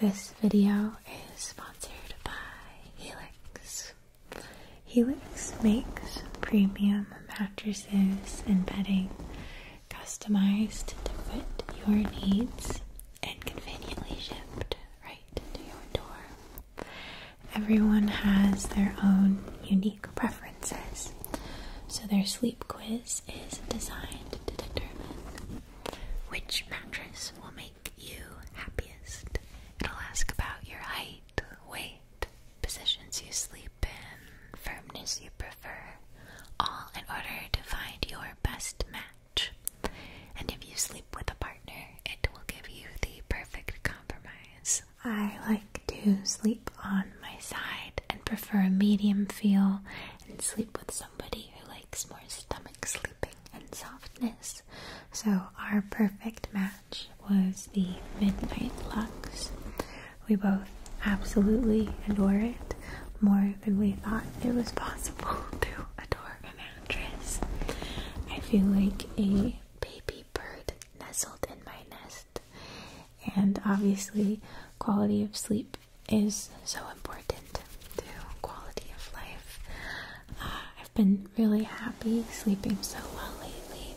This video is sponsored by Helix. Helix makes premium mattresses and bedding customized to fit your needs and conveniently shipped right to your door. Everyone has their own unique preferences, so their sleep quiz is designed to determine which mattress will make you happiest? It'll ask about your height, weight, positions you sleep in, firmness you prefer, all in order to find your best match. And if you sleep with a partner, it will give you the perfect compromise. I like to sleep on my side and prefer a medium feel and sleep with someone somebody who likes more stomach sleeping and softness. So, our perfect match was the Midnight Lux. We both absolutely adore it more than we thought it was possible to adore a mattress. I feel like a baby bird nestled in my nest, and obviously, quality of sleep is so important to quality of life. Uh, I've been really happy sleeping so well lately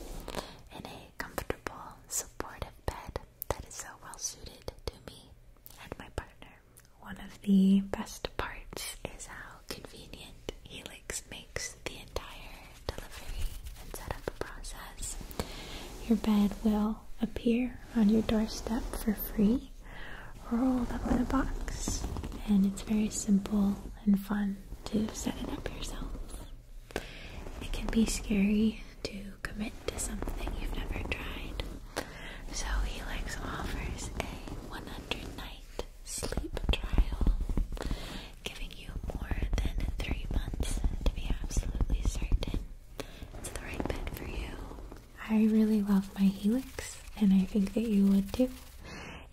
in a comfortable, supportive bed that is so well suited to me and my partner. One of the best parts is how convenient Helix makes the entire delivery and setup process. Your bed will appear on your doorstep for free, rolled up in a box, and it's very simple and fun to set it up yourself. It can be scary to commit to something you've never tried, so Helix offers a 100 night sleep trial, giving you more than three months to be absolutely certain. It's the right bed for you, I really love my Helix, and I think that you would too.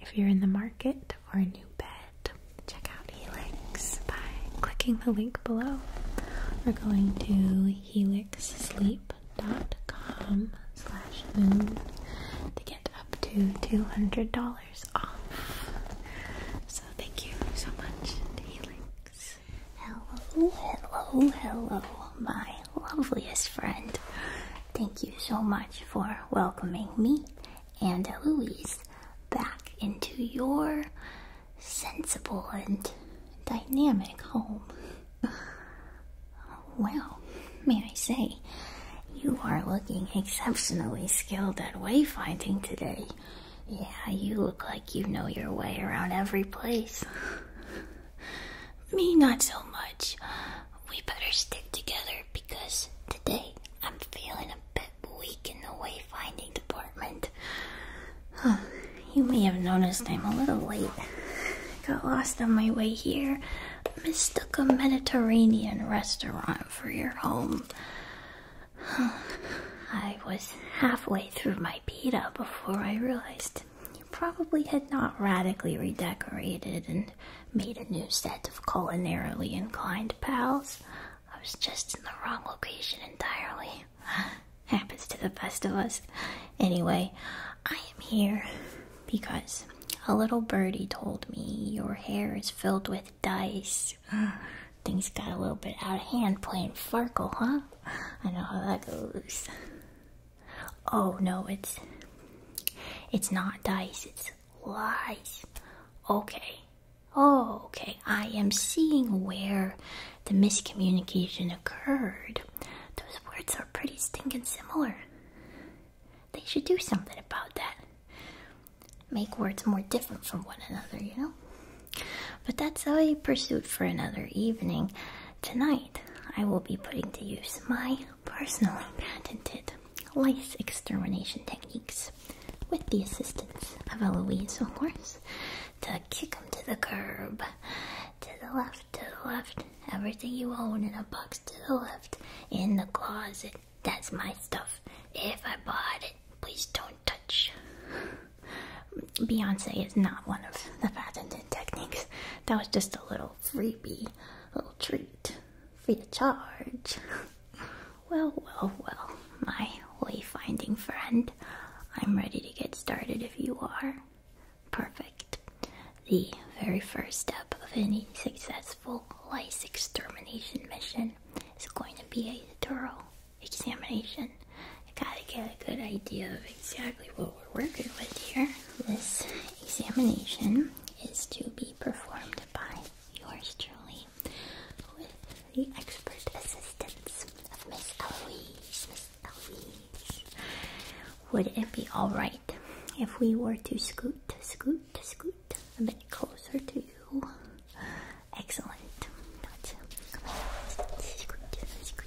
If you're in the market for a new bed, check out Helix by clicking the link below We're going to helixsleep.com slash moon to get up to $200 off. So thank you so much Helix. Hello, hello, hello, my loveliest friend. Thank you so much for welcoming me and Louise back into your sensible and dynamic home. Well, may I say, you are looking exceptionally skilled at wayfinding today. Yeah, you look like you know your way around every place. Me, not so much. We better stick together because today I'm feeling a bit weak in the wayfinding department. you may have noticed I'm a little late. Got lost on my way here. Mistook a Mediterranean restaurant for your home. I was halfway through my pita before I realized probably had not radically redecorated and made a new set of culinarily inclined pals. I was just in the wrong location entirely. Happens to the best of us. Anyway, I am here because a little birdie told me your hair is filled with dice. Things got a little bit out of hand playing Farkle, huh? I know how that goes. Oh no, it's it's not dice, it's lies. Okay. Oh, okay. I am seeing where the miscommunication occurred. Those words are pretty stinking similar. They should do something about that. Make words more different from one another, you know? But that's a pursuit for another evening. Tonight, I will be putting to use my personally patented lice extermination techniques, with the assistance of Eloise, of course, to kick them to the curb. To the left, to the left, everything you own in a box to the left, in the closet. That's my stuff. If I bought it, please don't touch. Beyonce is not one of the patented techniques. That was just a little freebie, little treat, free to charge. Well, well, well, my wayfinding friend, I'm ready to get started if you are. Perfect. The very first step of any successful lice extermination mission is going to be a thorough examination I gotta get a good idea of exactly what we're working with here. This examination is to be performed by yours truly with the expert assistance of Miss Eloise. Miss Eloise. Would it be alright if we were to scoot, scoot, scoot a bit closer to you? Excellent. That's scoot, scoot,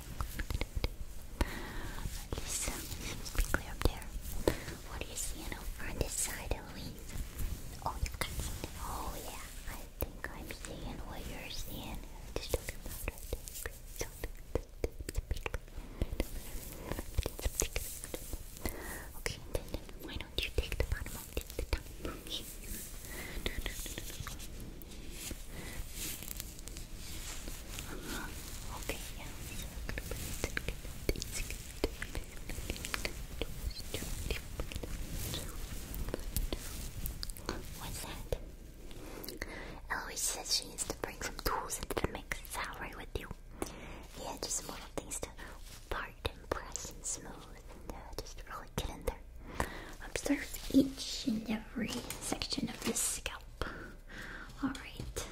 Okay, What do you see you know, on this side, Eloise? Oh, Oh, yeah. I think I'm seeing what you're seeing. Okay, then, why don't you take the bottom off the top? Okay, yeah, What's that? Eloise says she needs to bring some tools into the mix. Is that with you? Yeah, just more things to part and press and smooth and uh, just really get in there. Observe each and every section of the scalp. Alright.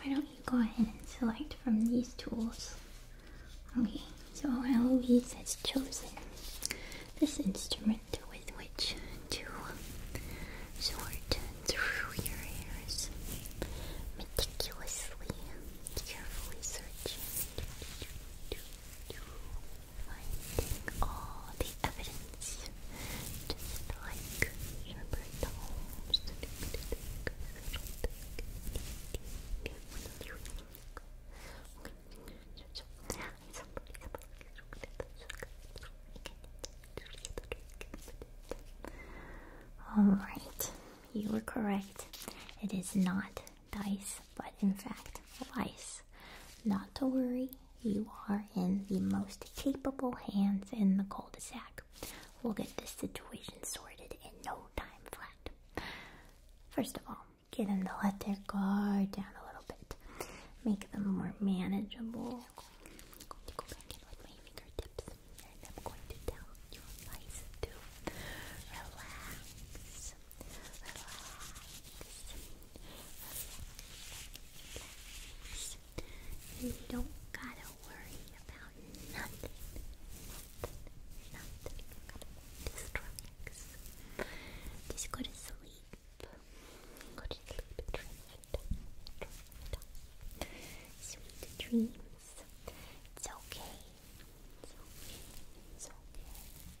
Why don't you go ahead and select from these tools? Okay, so Eloise has chosen this instrument with which to sort through your hairs meticulously, carefully searching finding all the evidence, Alright, you were correct. It is not dice, but in fact lice. Not to worry, you are in the most capable hands in the cul de sac. We'll get this situation sorted in no time flat. First of all, get them to let their guard down a little bit, make them more manageable. I'm going to go back in with my fingertips, and I'm going to tell your lice to relax relax. You don't gotta worry about nothing. Nothing. Nothing. Just relax. Just go to sleep. Go to sleep. Dream Dream Sweet dreams. It's okay. It's okay. It's okay.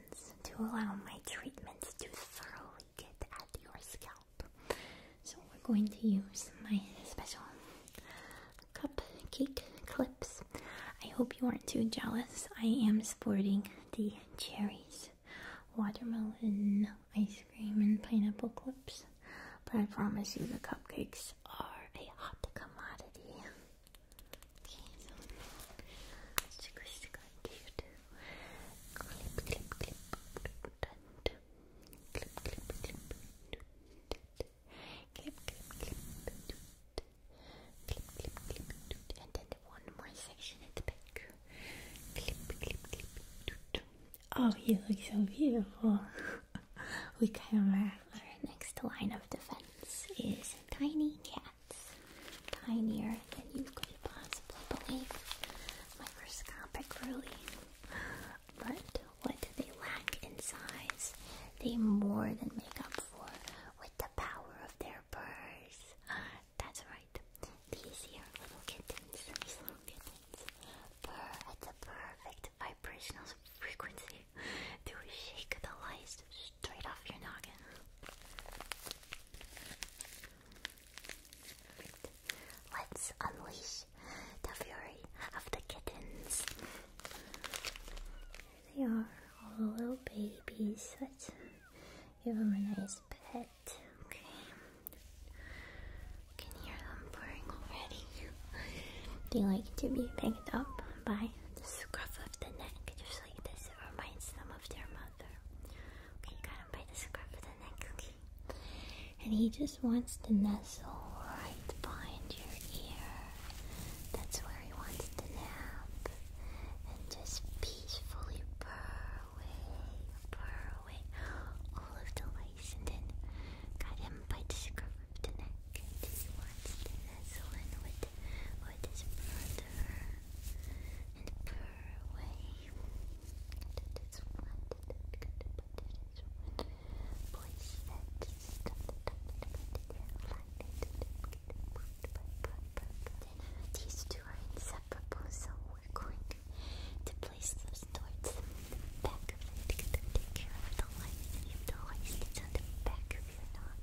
to allow my treatments to thoroughly get at your scalp. So, we're going to use my special cupcake clips. I hope you aren't too jealous. I am sporting the cherries, watermelon, ice cream, and pineapple clips, but I promise you the cupcakes are a hot commodity. Oh, you look so beautiful. we kind of Our next line of defense is tiny cat. It's tinier than you could possibly believe. Microscopic, really. But what they lack in size, they more than make up for with the power of their purrs. That's right. These here little kittens, these little kittens, purr at the perfect vibrational frequency to shake the lice straight off your noggin. Let's unleash the fury of the kittens. There they are, all the little babies. Let's give them a nice pet. Okay. can hear them purring already. they like to be picked up by the scruff of the neck, just like this reminds them of their mother. Okay, got him by the scruff of the neck, And he just wants to nestle right behind your ear. That's where he wants to nap. And just peacefully purr away, purr away all of the lice. And then got him by the scruff of the neck. he wants to nestle in with or this brother and purr away. To this one, to this one. Voice that is on the top of the body, Then these inseparable, so we're going to place those towards the back of it. Take care of the lights. If the lights gets on the back of your nose,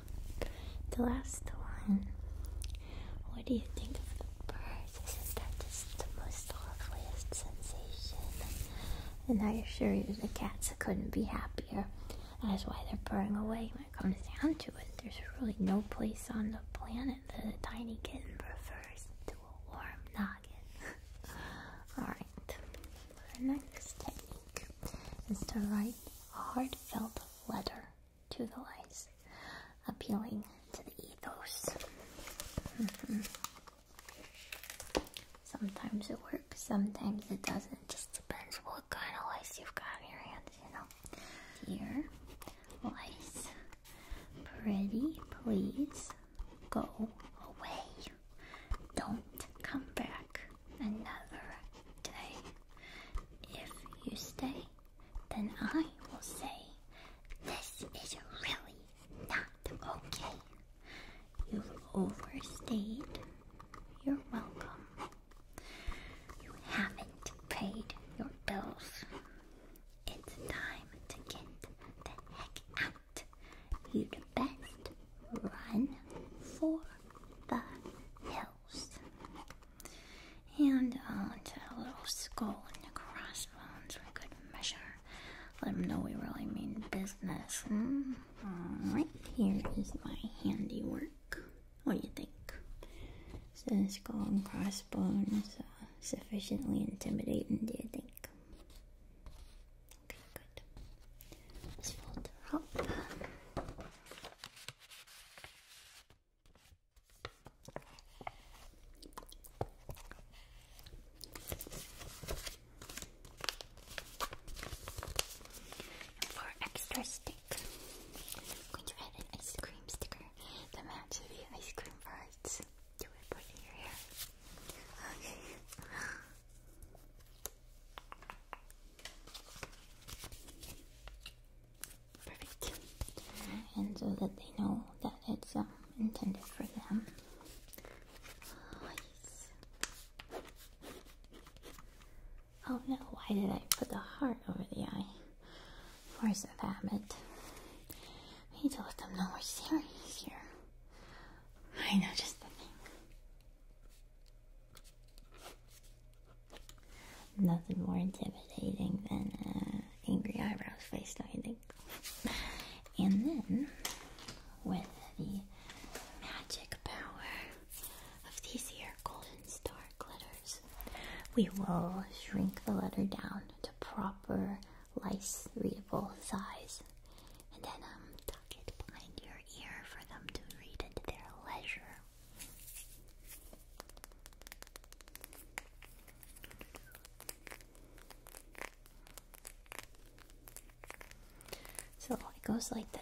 the last one. What do you think of the birds? Isn't that just the most loveliest sensation? And I assure you, the cats couldn't be happier. That is why they're purring away when it comes down to it. There's really no place on the planet that a tiny kitten prefers to a warm noggin. Alright, our next technique is to write a heartfelt letter to the lies, appealing to the ethos. Mm-hmm. Sometimes it works, sometimes it doesn't. just depends what kind of lice you've got in your hands, you know. Here, lice, pretty please go away. Don't come back another day. If you stay, then I will say, This is really not okay. You've overstayed. You're welcome. You haven't paid your bills. It's time to get the heck out. You'd best run for the hill. And uh, a little skull and crossbones We could measure. Let them know we really mean business. Mm-hmm. Right here is my handiwork. What do you think? So the skull and crossbones uh, sufficiently intimidating, do you think? Okay, good. Let's fold her up for extra stick, I'm going to add an ice cream sticker that matches the ice cream parts. Do it, put it in your hair. Okay. Perfect. And so that they know that it's um, intended for them. Oh, no, why did I put the heart over the eye? Force of habit. We let them know we're serious here. I know just the thing. Nothing more intimidating than uh, angry eyebrows face, do you think? and then, with the magic power of these here golden star glitters, we will shrink the letter down to proper lice readable size and then um, tuck it behind your ear for them to read at their leisure. So it goes like this.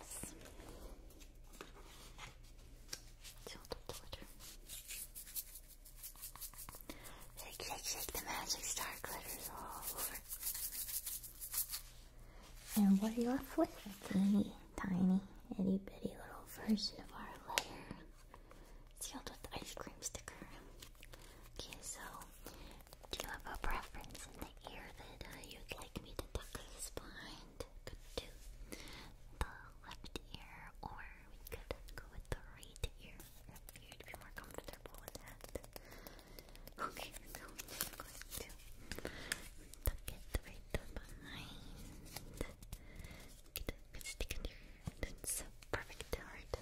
Shake, shake, shake the magic star glitters all over. And what are you left with? A teeny tiny itty bitty little version of our letter sealed with ice cream sticker. Okay, so do you have a preference in the ear that uh, you'd like me to tuck this behind? Could do the left ear, or we could go with the right ear. You'd be more comfortable with that. Okay, so I'm going to tuck it right the mind. Good, good stick in there. That's perfect. Alright.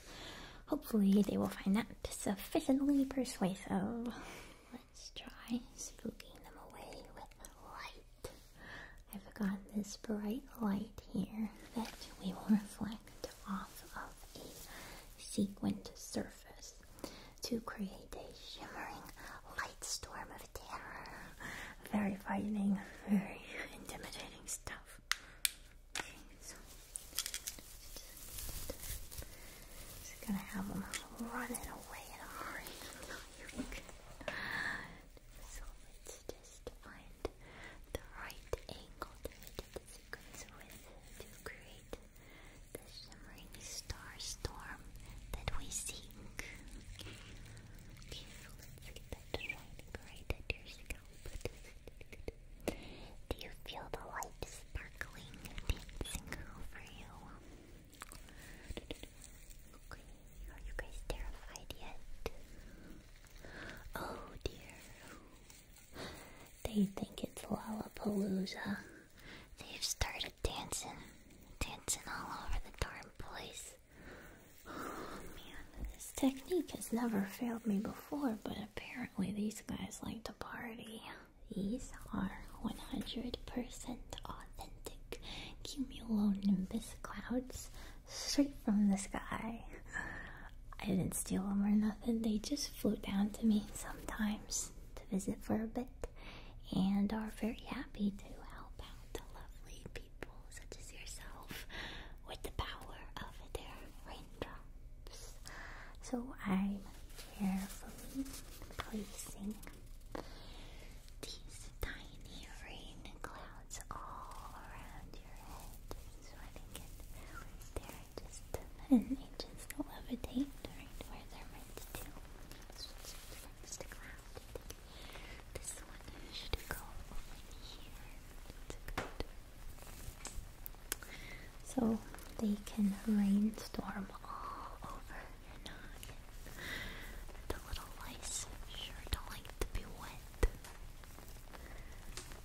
Hopefully they will find that sufficiently persuasive. Let's try spooking them away with light. I've got this bright light here that we will reflect off of a sequent surface to create a shimmering light storm of terror. Very frightening, very intimidating stuff. just gonna have them running away in a hurry. So let's just find the right angle to hit the sequence with to create the shimmering star storm that we seek. Do you feel the light sparkling dancing over you? are you guys terrified yet? Oh dear. They think it's Lollapalooza. They've started dancing, dancing all over the darn place. Oh, man, this technique has never failed me before, but apparently these guys like to party. These are 100% authentic cumulonimbus clouds straight from the sky. I didn't steal them or nothing, they just flew down to me sometimes to visit for a bit and are very happy to help out the lovely people such as yourself with the power of their raindrops. So I'm carefully placing these tiny rain clouds all around your head. So I think it, they're just an inches to levitate right where they're meant to. So they can rainstorm all over your noggin. The little lice sure don't like to be wet.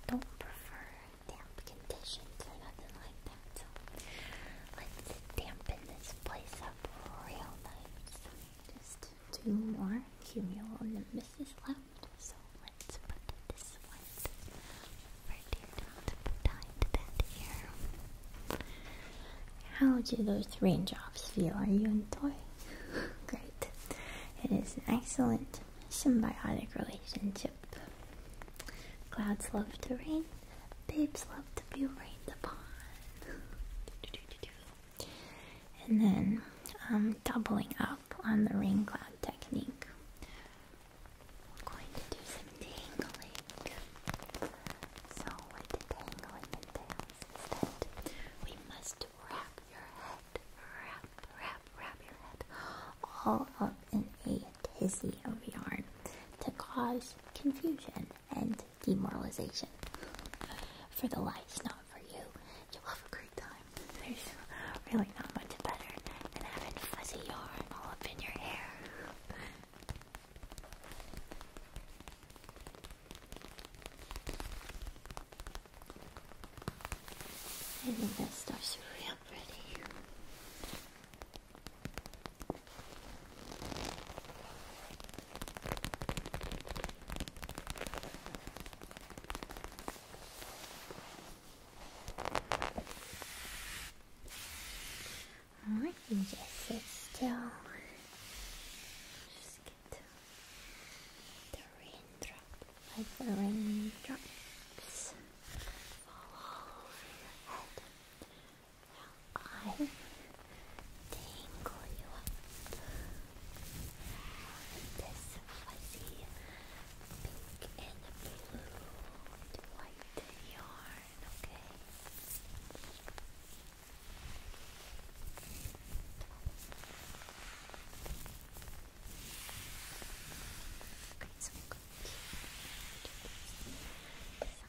Don't prefer damp conditions or nothing like that let's dampen this place up real nice. Just two more cumulo left. So let's put this one right here. How do those raindrops feel? Are you enjoying? Great. It is an excellent symbiotic relationship. Clouds love to rain, Babes love to be rained upon. and then um, doubling up on the rain cloud technique. I'm going to do some tangling. So what the tangling entails is that we must wrap your head, wrap, wrap, wrap your head all up in a tizzy of yarn to cause confusion and demoralization. For the lights, not for you. You'll have a great time. There's really not much better than having fuzzy yarn all up in your hair. I think that stuff's real pretty. Alright, you just sit still. Just get the raindrop. the raindrops fall over your head. I tingle you up with this fuzzy pink and blue and white yarn, okay? Okay, so I'm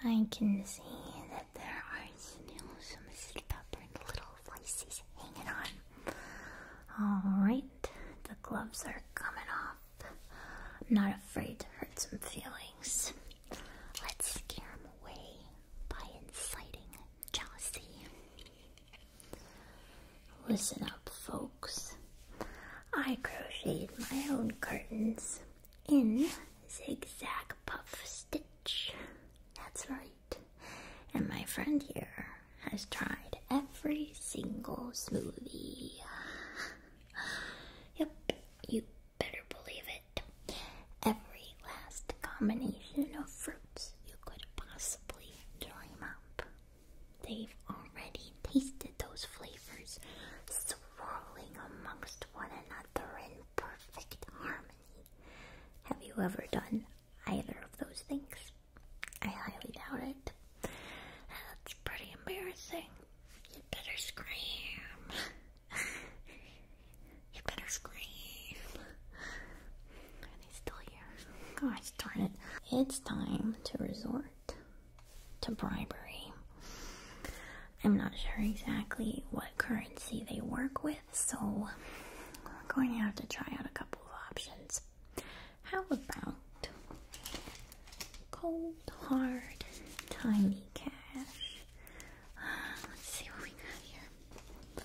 I can see that there are still some stubborn little voices hanging on. Alright, the gloves are coming off. I'm not afraid to hurt some feelings. Let's scare them away by inciting jealousy. Listen up, folks. I crocheted my own curtains in zigzag puff stitch. That's right. And my friend here has tried every single smoothie. yep, you better believe it. Every last combination of fruit you could possibly dream up. They've already tasted those flavors, swirling amongst one another in perfect harmony. Have you ever done either of those things? I highly doubt it. That's pretty embarrassing. You better scream. you better scream he's still here. darn it. It's time to resort to bribery. I'm not sure exactly what currency they work with, so we're going to have to try out a couple of options. How about cold, hard, tiny cash? Let's see what we got here.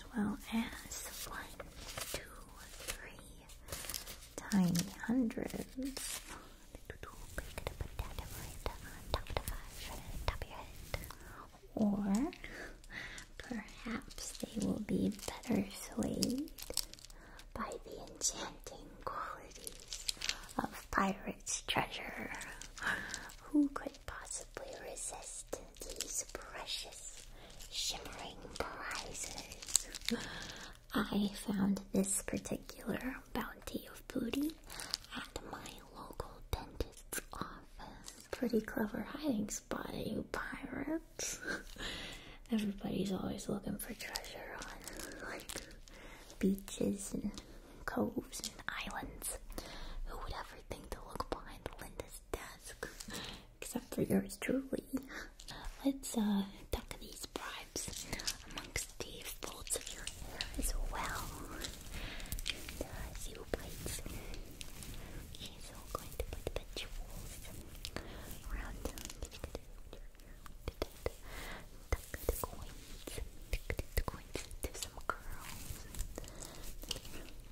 as well as one, two, three tiny hundreds. Or perhaps they will be better swayed by the enchanting qualities of pirate's treasure. Who could possibly resist these precious shimmering prizes? I found this particular bounty of booty at my local dentist's office. Pretty clever hiding spot, you pirates. Everybody's always looking for treasure on like beaches and coves and islands. Who would ever think to look behind Linda's desk? except for yours truly. Let's uh, tuck these bribes amongst the folds of your hair as well. And, uh, zero bites. going to put the jewels around. the coins, tuck the coins into some curls.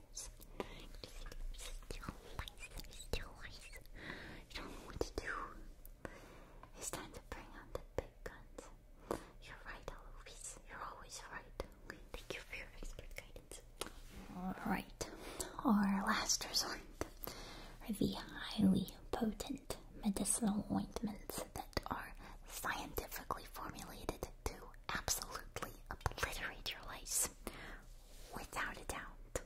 this. You don't know to do. It's time to bring out the big guns. You're right, Alovis. You're always right. thank you for your expert guidance. Alright, our last resort are the highly potent medicinal ointments that are scientifically formulated to absolutely obliterate your lives without a doubt.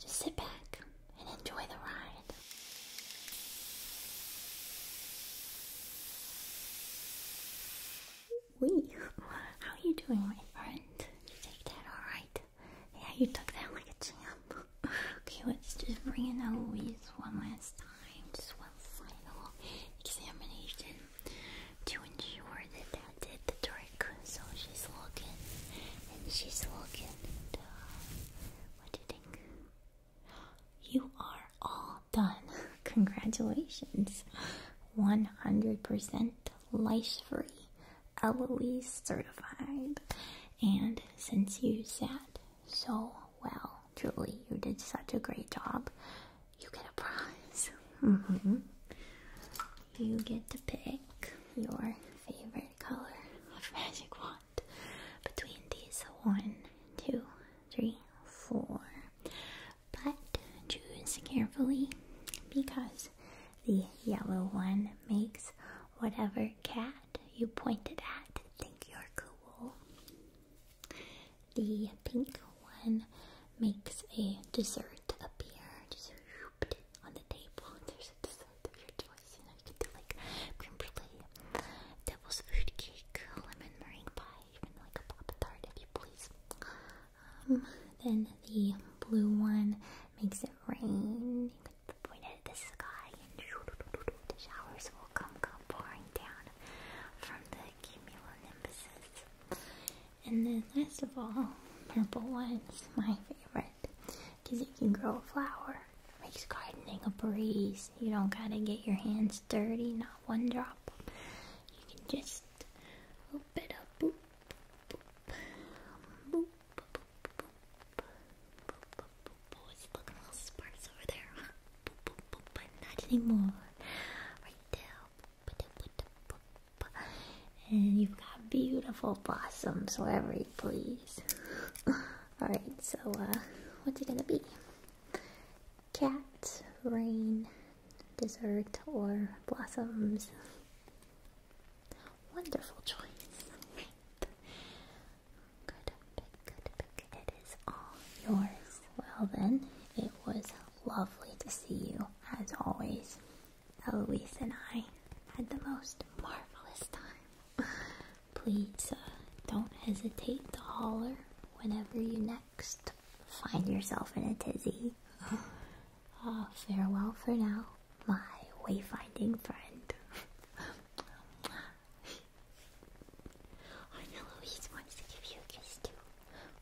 Just sit back and enjoy the ride. Wee, how are you doing, my friend? You take that alright? Yeah, you took that like a champ. okay, let's just bring in Eloise one last time. Just one final examination to ensure that that did the trick. So she's looking and she's looking. Uh, what do you think? You are all done. Congratulations. 100% lice free, LOE certified. And since you sat so well, truly, you did such a great job. You get a prize. Mm-hmm. You get to pick your favorite color of magic wand between these one, two, three, four. But choose carefully because the yellow one makes whatever cat you point it at think you're cool the pink one makes a dessert appear. Just whooped on the table. There's a dessert of your choice. You you can do like cream brulee, devil's food cake, lemon meringue pie, even like a pop tart if you please. Um, then the blue one makes it rain. You can point at the sky, and the showers will come, come pouring down from the like cumulonimbuses. And then last of all, purple one's my favorite because you can grow a flower. Makes gardening a breeze. You don't gotta get your hands dirty, not one drop. You can just oop it up, boop, boop, boop, boop, boop, boop, boop, boop. Oh, it's looking all sparse over there. Boop, boop, boop, but not anymore. Right there, and you've got beautiful blossoms wherever you please. Alright, so uh, what's it gonna be? Cat, rain, dessert, or blossoms? Wonderful choice. Good pick, good pick. It is all yours. Well then, it was lovely to see you, as always. Eloise and I had the most marvelous time. Please uh, don't hesitate to holler whenever you next find yourself in a tizzy. Uh, farewell for now, my wayfinding friend. I know wants to give you a kiss too.